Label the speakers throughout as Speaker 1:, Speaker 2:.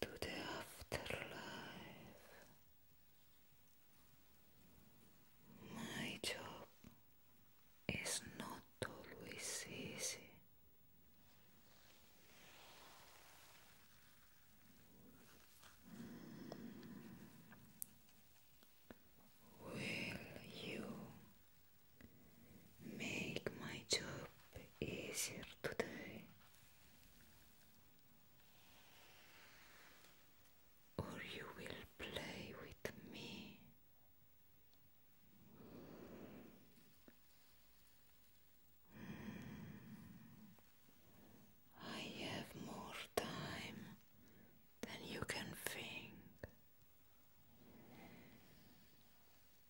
Speaker 1: to the afterlife. My job is not always easy. Will you make my job easier today? or you will play with me. I have more time than you can think.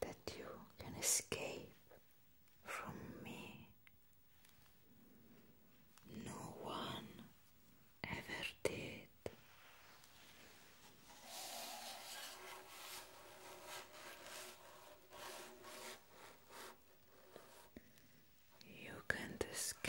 Speaker 1: that you can escape from me. No one ever did. You can't escape.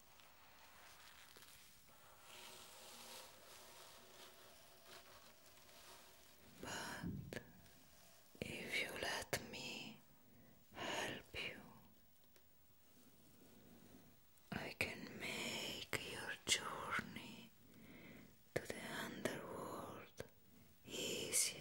Speaker 1: But if you let me help you, I can make your journey to the underworld easier.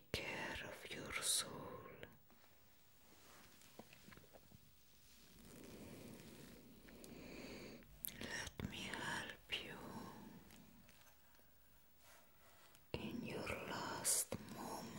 Speaker 1: take care of your soul. Let me help you in your last moment.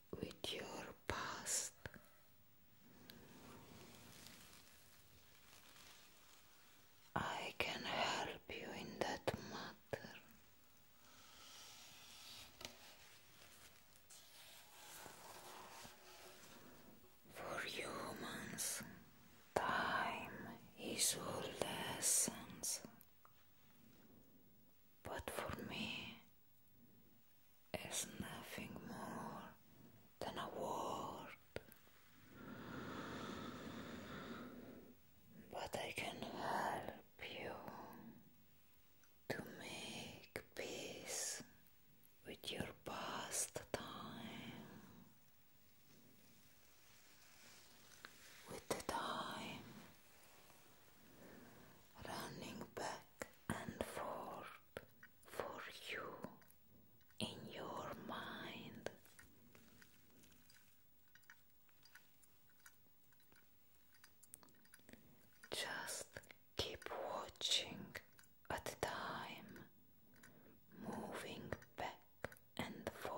Speaker 1: with your past. I can help you in that matter. For humans, time is all the essence. But for me, is nothing more than a word, but I can help you to make peace with your past time, with the time running back and forth for you in your mind. Just keep watching at time, moving back and forth.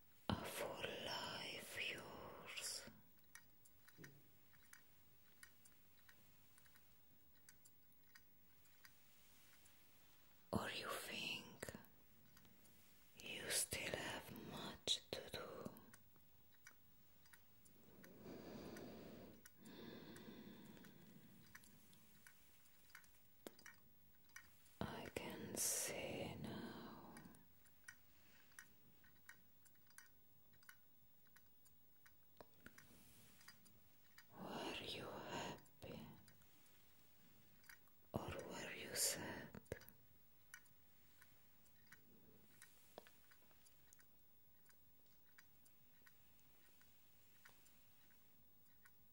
Speaker 1: a full life yours. Or you think you still have much to do? I can see now. Were you happy or were you sad?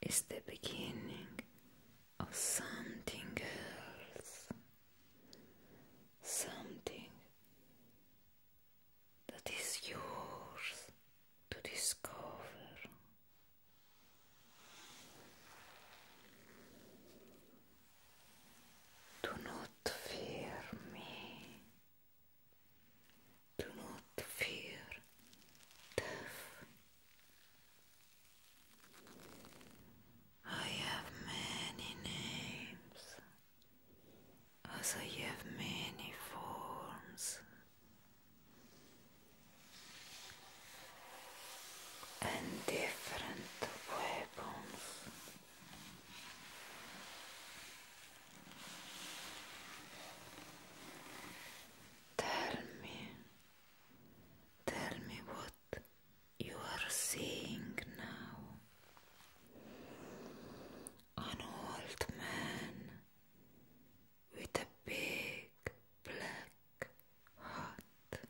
Speaker 1: is the beginning of something else, something that is yours to discover. Do not fear me. Do not fear death. I oh, have many names, as I have many forms, and different weapons. Tell me, Tell me what you are seeing now. An old man with a big black hat.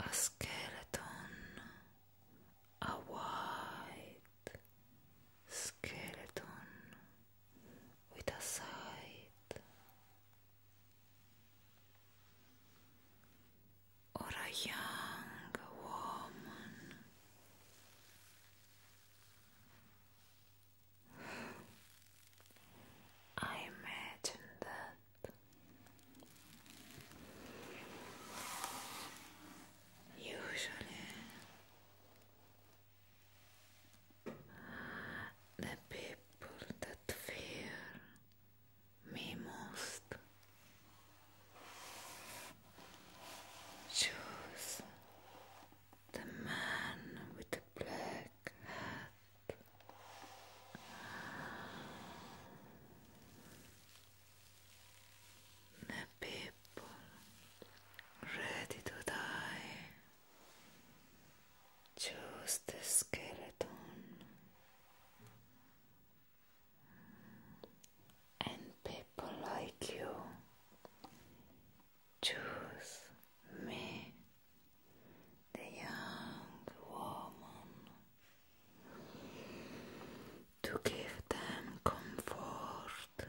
Speaker 1: A skeleton, a white skeleton with a side or a young woman. I imagine that usually the people that fear me most choose the man with the black hat people ready to die. Choose the skeleton, and people like you choose me, the young woman, to give them comfort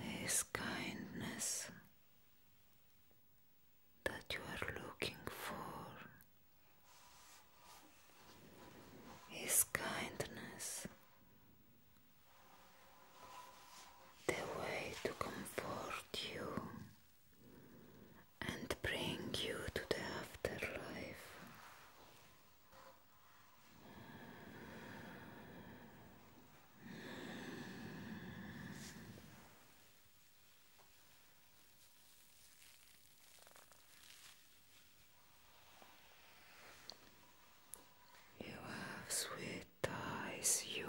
Speaker 1: His kindness that you are looking for His kindness the way to comfort you and bring you to the afterlife you have sweet eyes, human.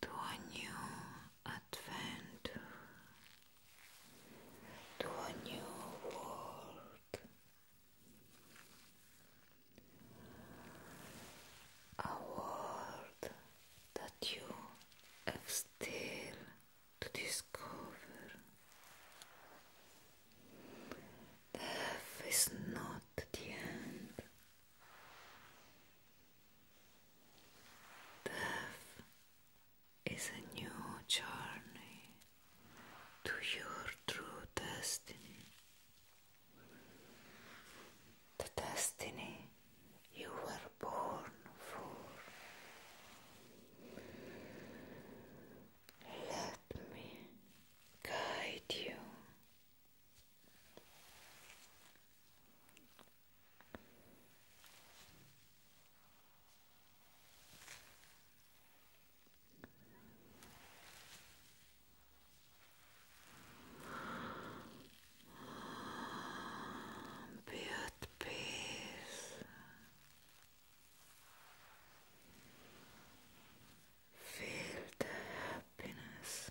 Speaker 1: to a new adventure, to a new world, a world that you have still to discover. Death is not the end. Death is a new journey to your true destiny. The destiny you were born for. Let me guide you be at peace. Feel the happiness.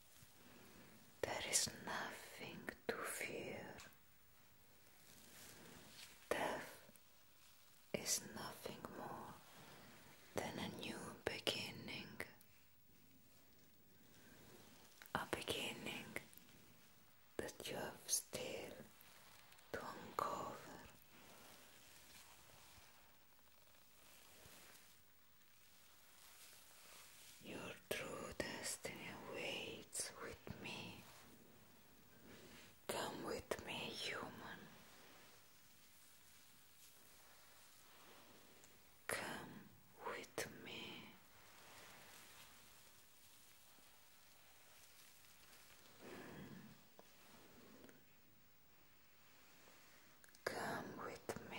Speaker 1: There is nothing to fear. Death is nothing more than a new beginning. A beginning that you have still to uncover. Your true destiny awaits with me. Come with me, human. Come with me. Come with me.